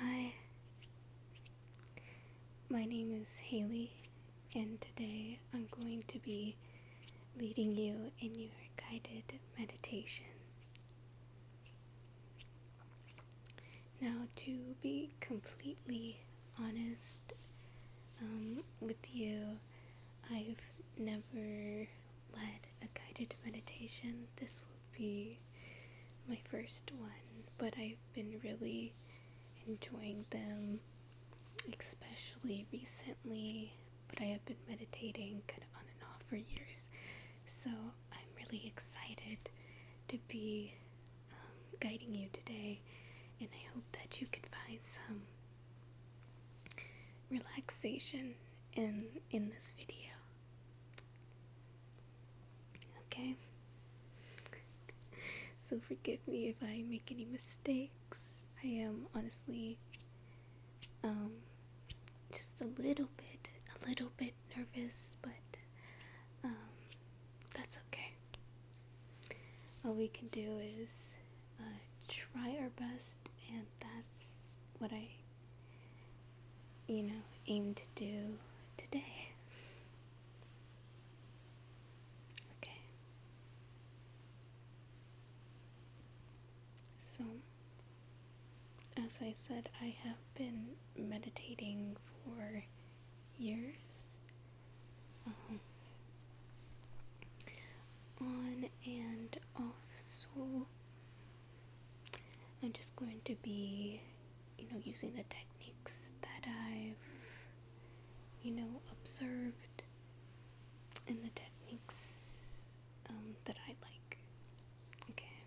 Hi, my name is Haley, and today I'm going to be leading you in your guided meditation. Now, to be completely honest um, with you, I've never led a guided meditation. This will be my first one, but I've been really enjoying them, especially recently. But I have been meditating kind of on and off for years, so I'm really excited to be um, guiding you today, and I hope that you can find some relaxation in in this video. Okay. So forgive me if I make any mistakes. I am honestly um just a little bit a little bit nervous, but um that's okay. All we can do is uh, try our best, and that's what I, you know, aim to do today. Okay. So, as I said, I have been meditating for years. Um, on and off so I'm just going to be you know using the techniques that I've you know observed and the techniques um, that I like okay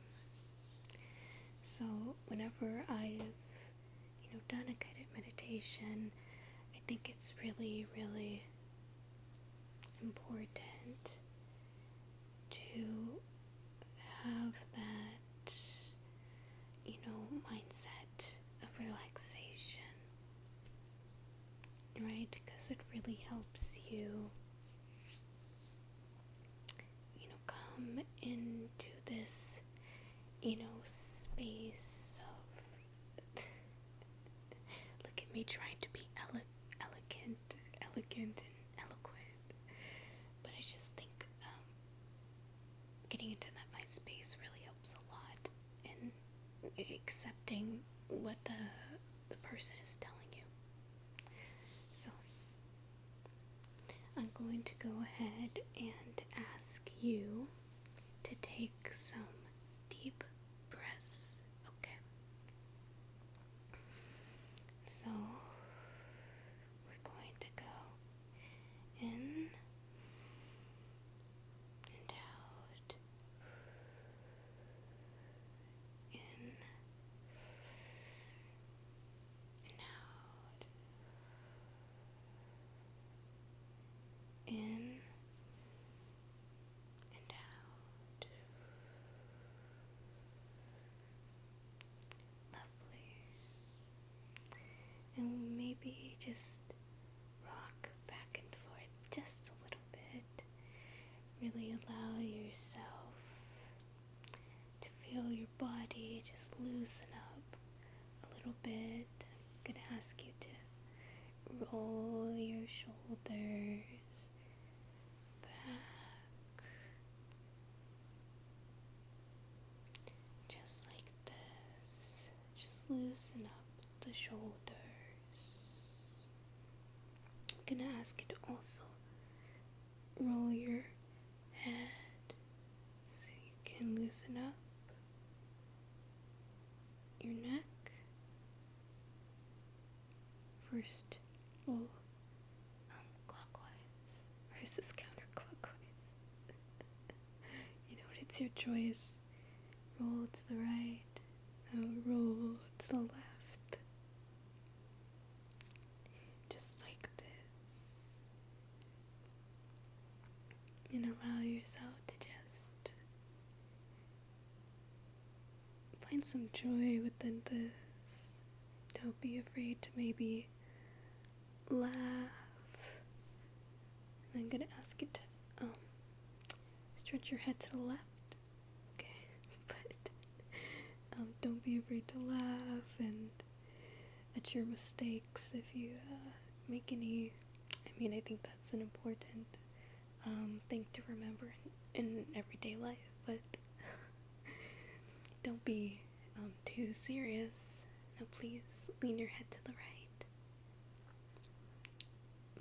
so whenever I've you know done a guided meditation I think it's really really important to have that, you know, mindset of relaxation, right? Because it really helps you, you know, come into this, you know, space of Look at me trying to be elegant, elegant and eloquent. But I just think um, getting into that mind space really helps a lot and accepting what the the person is telling you. So I'm going to go ahead and ask you to take some deep breaths, okay? So we're going to go in and out, in and out, in and out. Lovely. And maybe just rock back and forth just a little bit. Really allow yourself to feel your body just loosen up a little bit. I'm gonna ask you to roll your shoulders back just like this. Just loosen up the shoulders. I'm gonna ask you to also roll your head so you can loosen up your neck. First, we'll um, clockwise versus counterclockwise. you know It's your choice. Roll to the right, roll to the left. Just like this. And allow yourself to just Find some joy within this. Don't be afraid to maybe laugh. And I'm gonna ask you to um, stretch your head to the left. Okay, but um, don't be afraid to laugh and at your mistakes if you uh, make any. I mean, I think that's an important um, thing to remember in, everyday life, but don't be um, too serious. No, please lean your head to the right,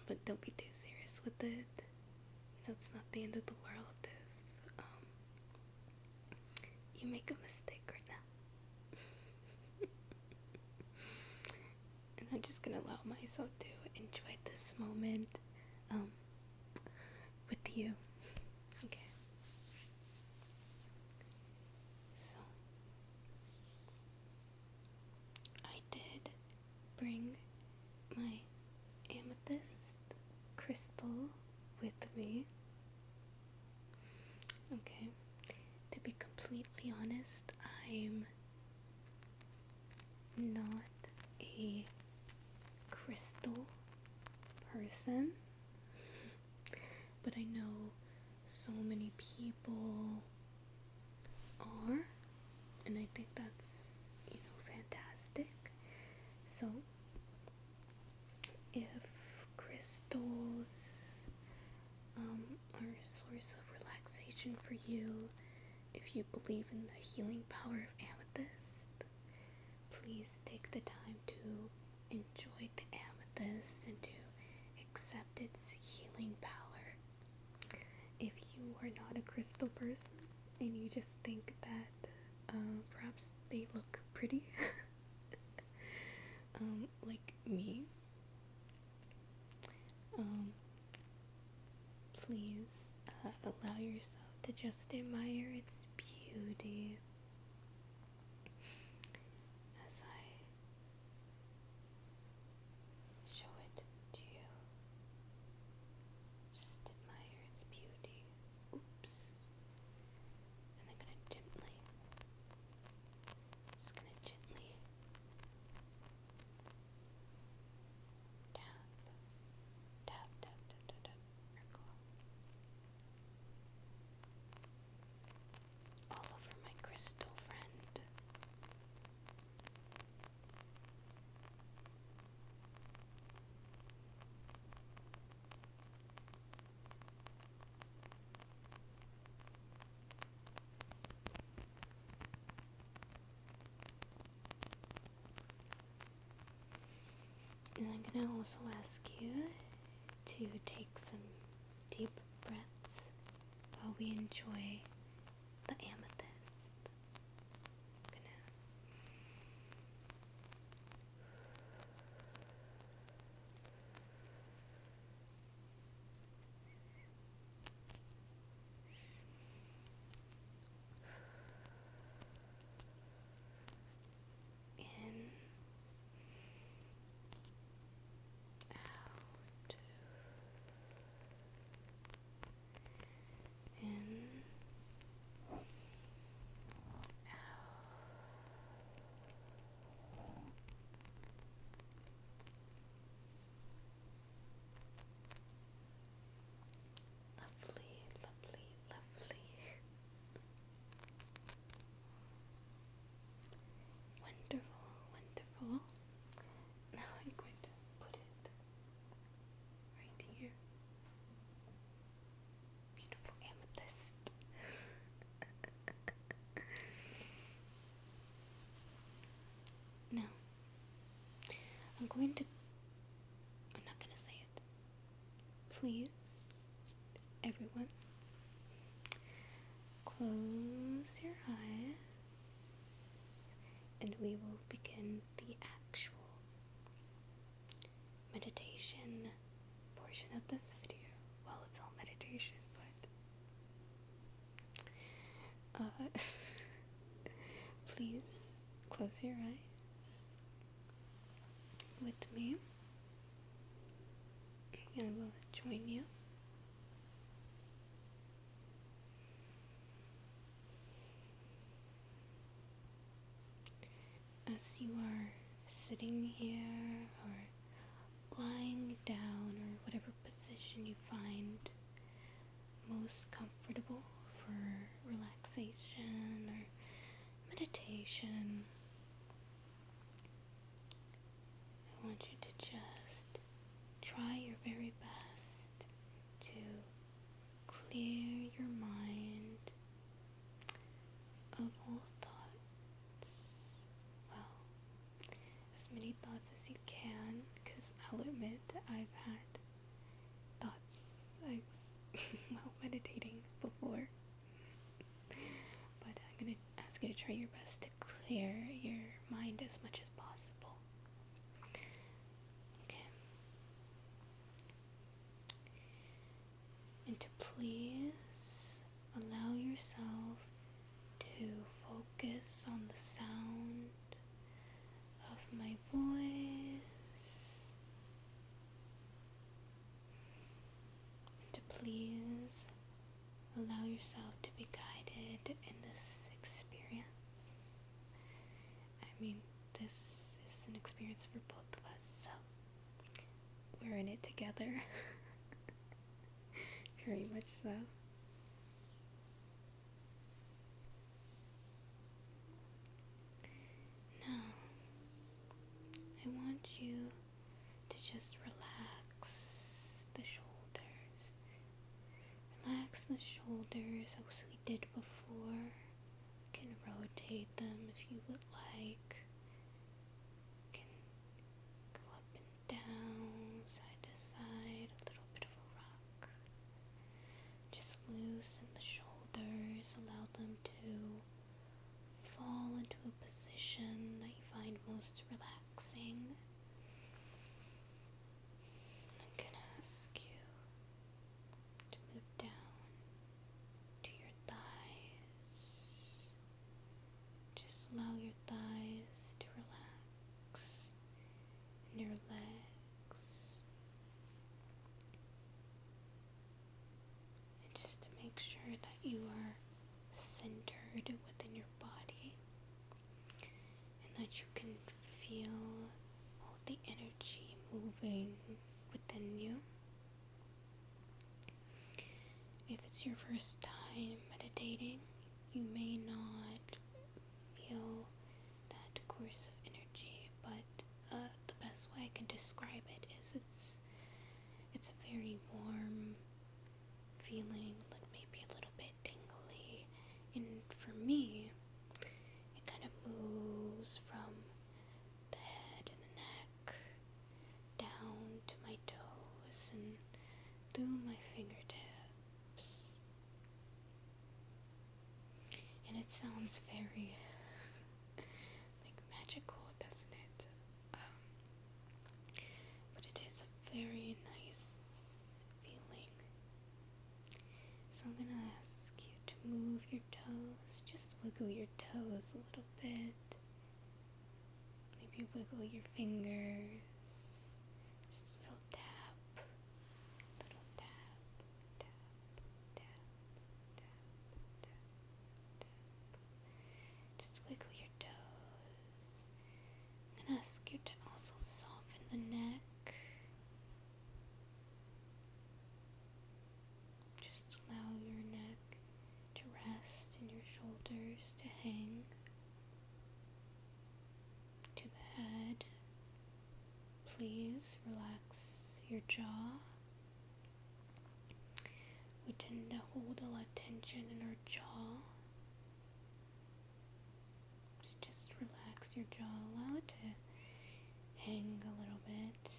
but don't be too serious with it. You know, it's not the end of the world if um, you make a mistake right now. and I'm just gonna allow myself to enjoy this moment um, with you. okay. So, I did bring my amethyst crystal with me. Okay. To be completely honest, I'm not a crystal person, but I know so many people are, and I think that's you know fantastic. So, if crystals um, are a source of relaxation for you. If you believe in the healing power of amethyst, please take the time to enjoy the amethyst and to accept its healing power. If you are not a crystal person and you just think that uh, perhaps they look pretty, um, like me, um, please uh, allow yourself to just admire its beauty as I show it to you. Just admire its beauty. Oops. And I'm gonna gently, just gonna gently Tap, tap, All over my crystal friend. And I'm going to also ask you to take some deep breaths while we enjoy the amethyst in out in out in Lovely, lovely, lovely. Wonderful, wonderful. Now I'm going to put it right here. Beautiful amethyst. Now, I'm going to. I'm not going to say it. Please, everyone, close your eyes and we will begin the actual meditation portion of this video. Well, it's all meditation, but uh, please close your eyes with me. I will join you. As you are sitting here or lying down or whatever position you find most comfortable for relaxation or meditation. I want you to just try your very best to clear your mind of all thoughts. Well, as many thoughts as you can because I'll admit I've had thoughts I've while meditating before. But I'm gonna ask you to try your best to clear your mind as much as possible. Okay. And to please Allow yourself to focus on the sound of my voice. To please allow yourself to be guided in this experience. I mean, this is an experience for both of us, so we're in it together. Very much so. Now, I want you to just relax the shoulders. Relax the shoulders as we did before. can rotate them if you would like. can go up down, side to side, a little bit of a rock. Just loosen the shoulders, allow them to fall into a position that you find most relaxing. I'm gonna ask you to move down to your thighs, just allow your thighs to relax and your legs. And just to make sure that you are centered within your body and that you can feel all the energy moving within you. If it's your first time meditating, you may not feel that course of energy, but uh, the best way I can describe it is it's it's a very warm feeling, like maybe a little bit tingly, and for me, it kind of moves from the head and the neck down to my toes and through my fingertips. And it sounds very like magical, doesn't it? Um, but it is a very nice feeling. So I'm gonna ask you to move your toes, just wiggle your toes a little bit. Maybe wiggle your fingers. Just a little tap. Little tap, tap, tap, tap, tap, tap. Just wiggle your toes. and ask you to also soften the neck. Just allow your neck to rest and your shoulders to hang to the head. Please relax your jaw. We tend to hold a lot of tension in our jaw. Just relax your jaw, allow it to hang a little bit.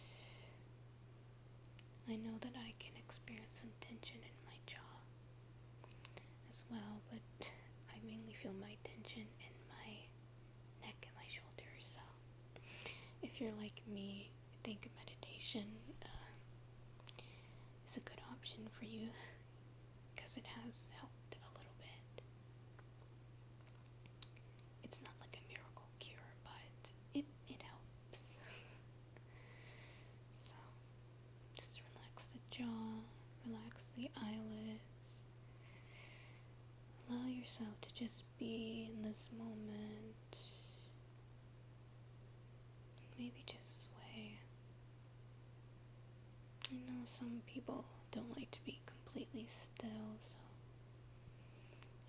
I know that I can experience some tension in my jaw as well, but I mainly feel my tension in my neck and my shoulders. So, if you're like me, I think meditation uh, is a good option for you because it has helped a little bit. It's not like a miracle cure, but it, it helps. so, just relax the jaw, relax the eyelids. Allow yourself to just be in this moment. Maybe just sway. I know some people don't like to be completely still, so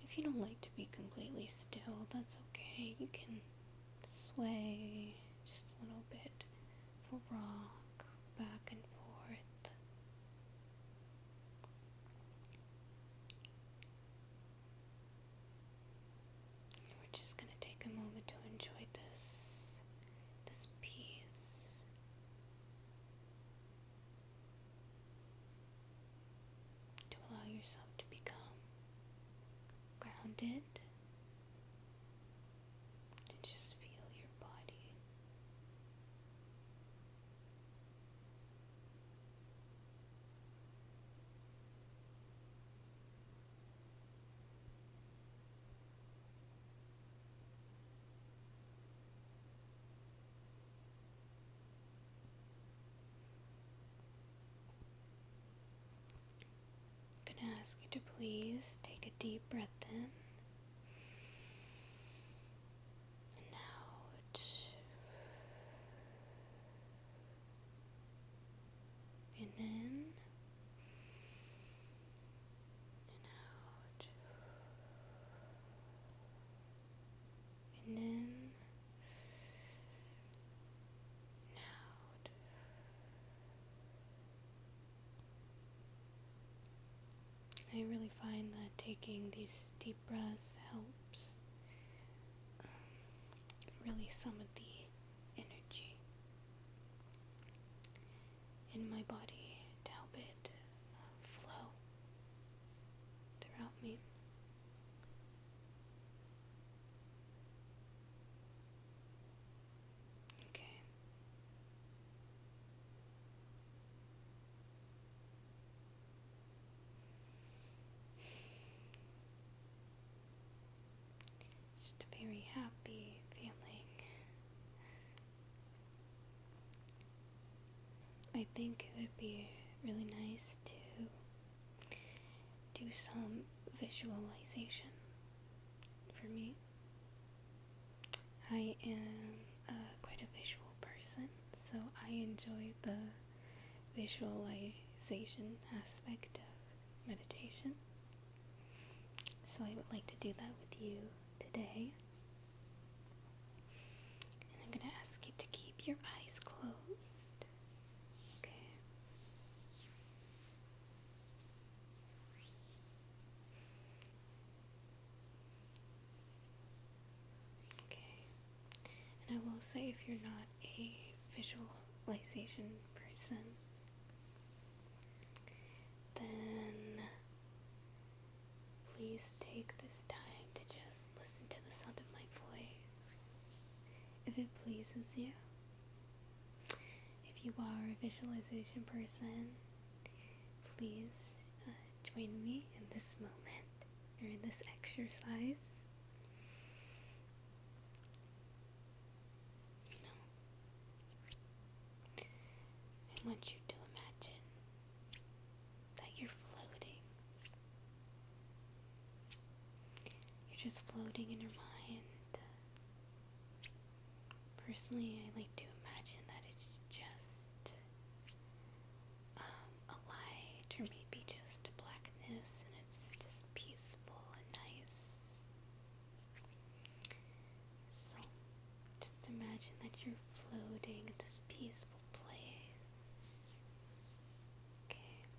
if you don't like to be completely still, that's okay. You can sway just a little bit for rock, back and forth. we're just going to take a moment to enjoy this, this peace. To allow yourself to become grounded and just feel your body. I'm going to ask you to please take a deep breath in and out. And in and out. And in out. I really find that taking these deep breaths helps um, release some of the energy in my body to help it uh, flow throughout me. Okay. Just a very happy feeling. I think it would be really nice to do some visualization for me. I am a uh, quite a visual person, so I enjoy the visualization aspect of meditation. So I would like to do that with you today. And I'm going to ask you to keep your eyes closed. Okay. Okay. And I will say, if you're not a visualization person, then please take this time to just listen to the sound of my voice if it pleases you. If you are a visualization person, please uh, join me in this moment or in this exercise. I want you to imagine that you're floating you're just floating in your mind. Personally, I like to imagine that it's just um, a light or maybe just a blackness and it's just peaceful and nice. So just imagine that you're floating in this peaceful place. Okay.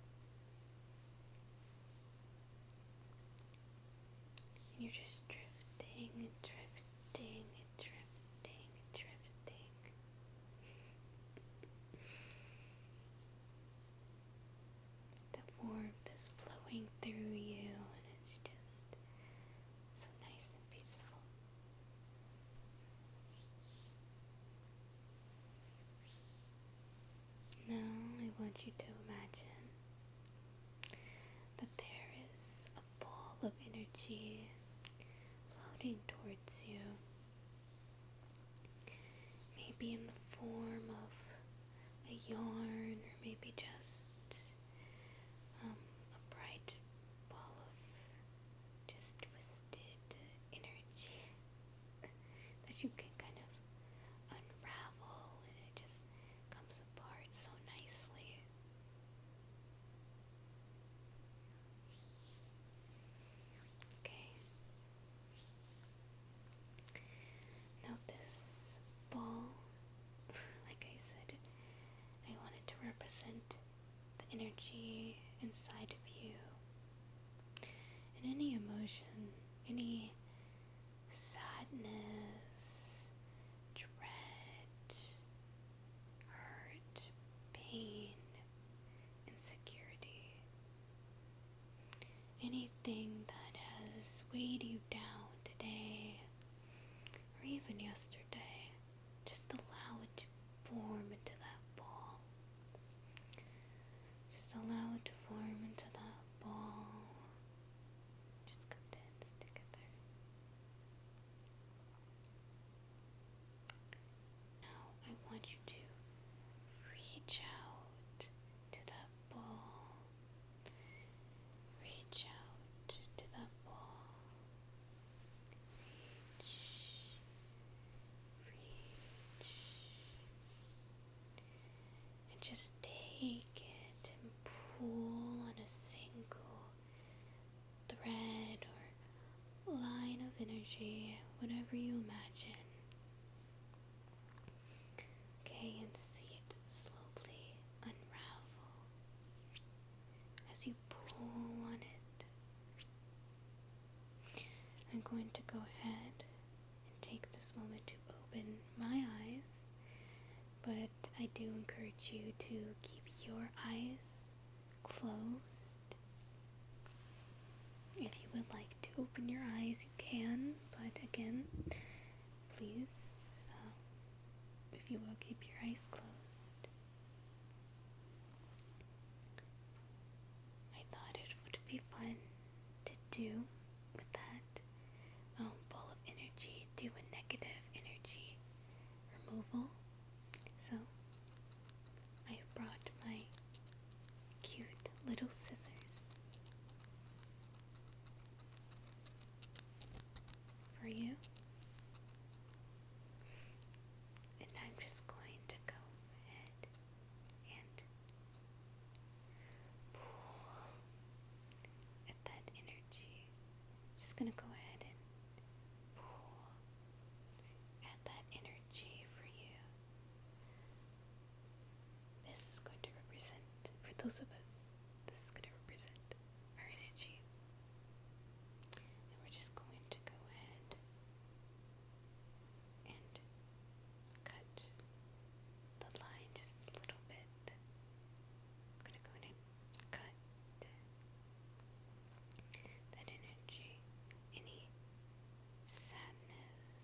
And you're just drifting drifting and drifting and drifting. the warmth is flowing through you, and it's just so nice and peaceful. Now I want you to imagine that there is a ball of energy floating towards you, maybe in the form of a yarn, or maybe just um, a bright ball of just twisted energy that you can kind of unravel and it just comes apart so nicely. Okay. Now, this ball, like I said, I wanted to represent the energy inside of you and any emotion, any sadness, dread, hurt, pain, insecurity, anything that has weighed you down today or even yesterday, just allow it to form into that ball just allow it to form into that ball. Just condense together. Now I want you to reach out to that ball. Reach out to that ball. Reach. Reach. And just take it and pull on a single thread or line of energy, whatever you imagine. Okay, and see it slowly unravel as you pull on it I'm going to go ahead and take this moment to open my eyes, but I do encourage you to keep your eyes closed. If you would like to open your eyes, you can, but again, please, um, if you will, keep your eyes closed. I thought it would be fun to do with that um, ball of energy, do a negative energy removal. So I have brought my cute little scissors for you. And I'm just going to go ahead and at that energy. just going to go ahead and pool at that energy for you. This is going to represent, for those of us, this is going to represent our energy. And we're just going to go ahead and cut the line just a little bit. I'm gonna go and cut that energy, any sadness,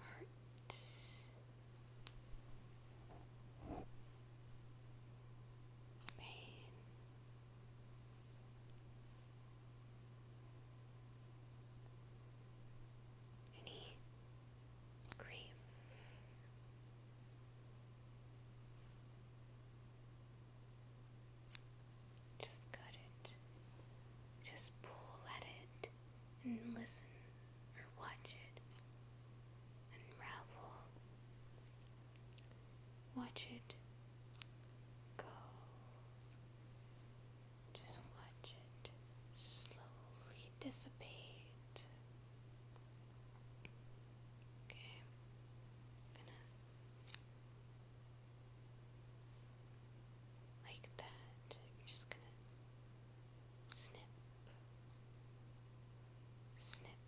hurt. Pain, any grief? Just gut it. Just pull at it and listen or watch it unravel Watch it go. Just watch it slowly dissipate. Okay, I'm gonna like that. I'm just gonna snip, snip,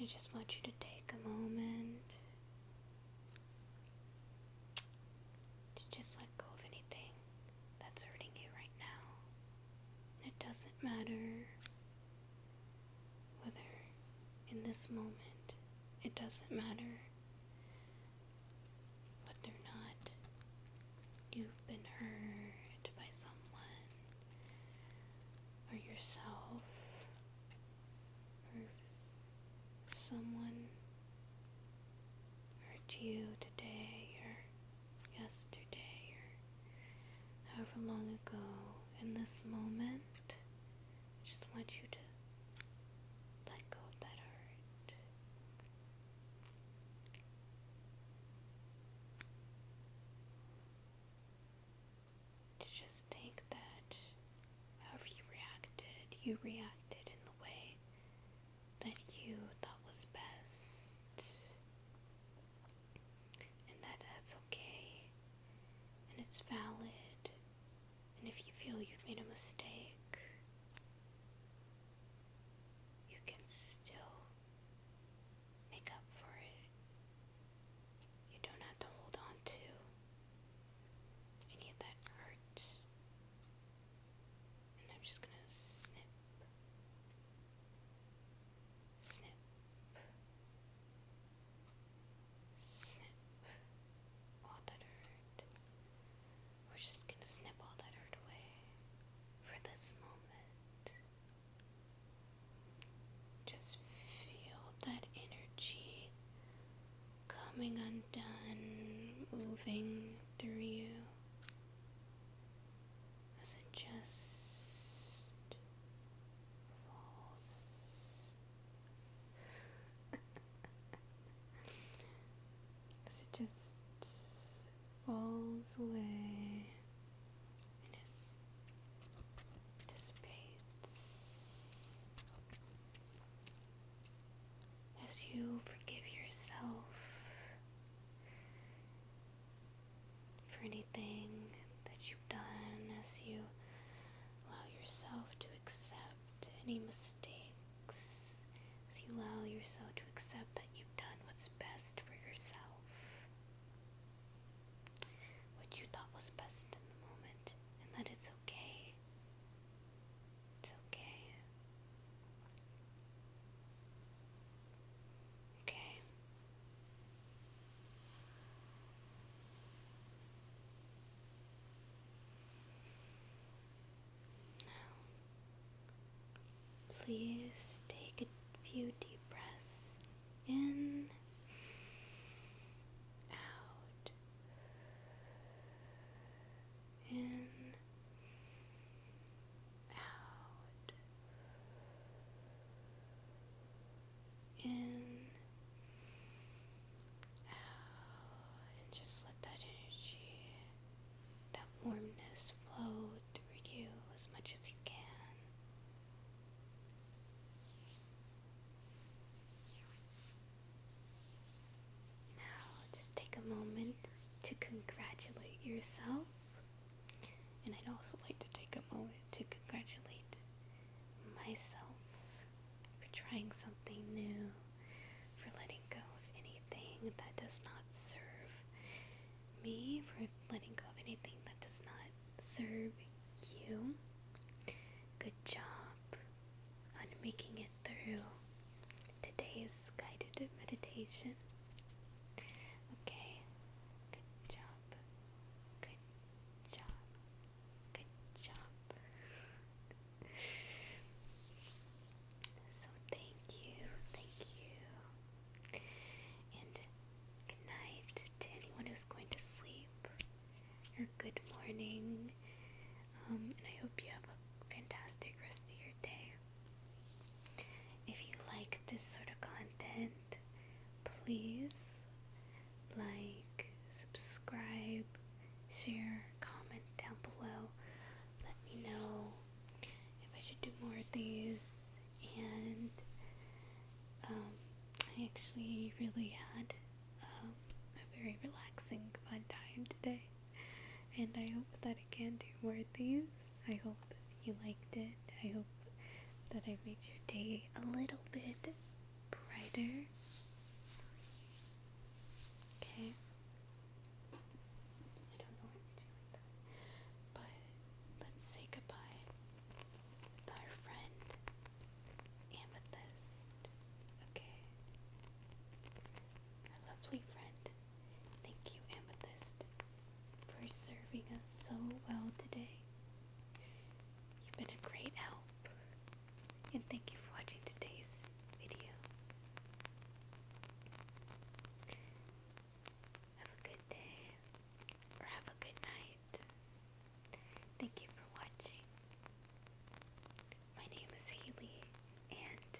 I just want you to take a moment to just let go of anything that's hurting you right now. it doesn't matter whether in this moment, it doesn't matter whether or not you've been hurt by someone or yourself or someone hurt you today or yesterday or however long ago in this moment I just want you to let go of that hurt to just think that however you reacted, you reacted in the way that you thought was best, and that that's okay, and it's valid, and if you feel you've made a mistake, you can still make up for it. You don't have to hold on to any of that hurt. And I'm just gonna snip, snip, snip all that hurt. We're just gonna snip all that hurt away for this moment. Just feel that energy coming undone, moving through you as it just falls. as it just falls away and dissipates as you forgive yourself for anything that you've done, as you allow yourself to accept any mistakes, as you allow yourself to accept that you've done what's best for yourself what you thought was best in the moment and that it's okay. It's okay. Okay. Now, Please take a few deep breaths in, out, in, out, in. Oh, and just let that energy, warmness flow through you as much as you can. Now, just take a moment to congratulate yourself. And I'd also like to take a moment to congratulate myself for trying something new, for letting go of anything that does not serve me for letting go of anything that does not serve you. Good job on making it through today's guided meditation. Okay, good job. Good job. Good job. so, thank you. Thank you. And good night to anyone who's going to sleep, or good morning. Um, and I hope you have a fantastic rest of your day. If you like this sort of content, please like, subscribe, share, comment down below. Let me know if I should do more of these and um, I actually really had um, a very relaxing, fun time today. And I hope that it can do more of these. I hope you liked it. I hope that I made your day a little bit brighter. Okay. But let's say goodbye with our friend Amethyst. Okay. Our lovely friend. Thank you, Amethyst, for serving us so well today. You've been a great help. And thank you for watching today's video. Have a good day or have a good night. Thank you for watching. My name is Haley and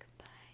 goodbye.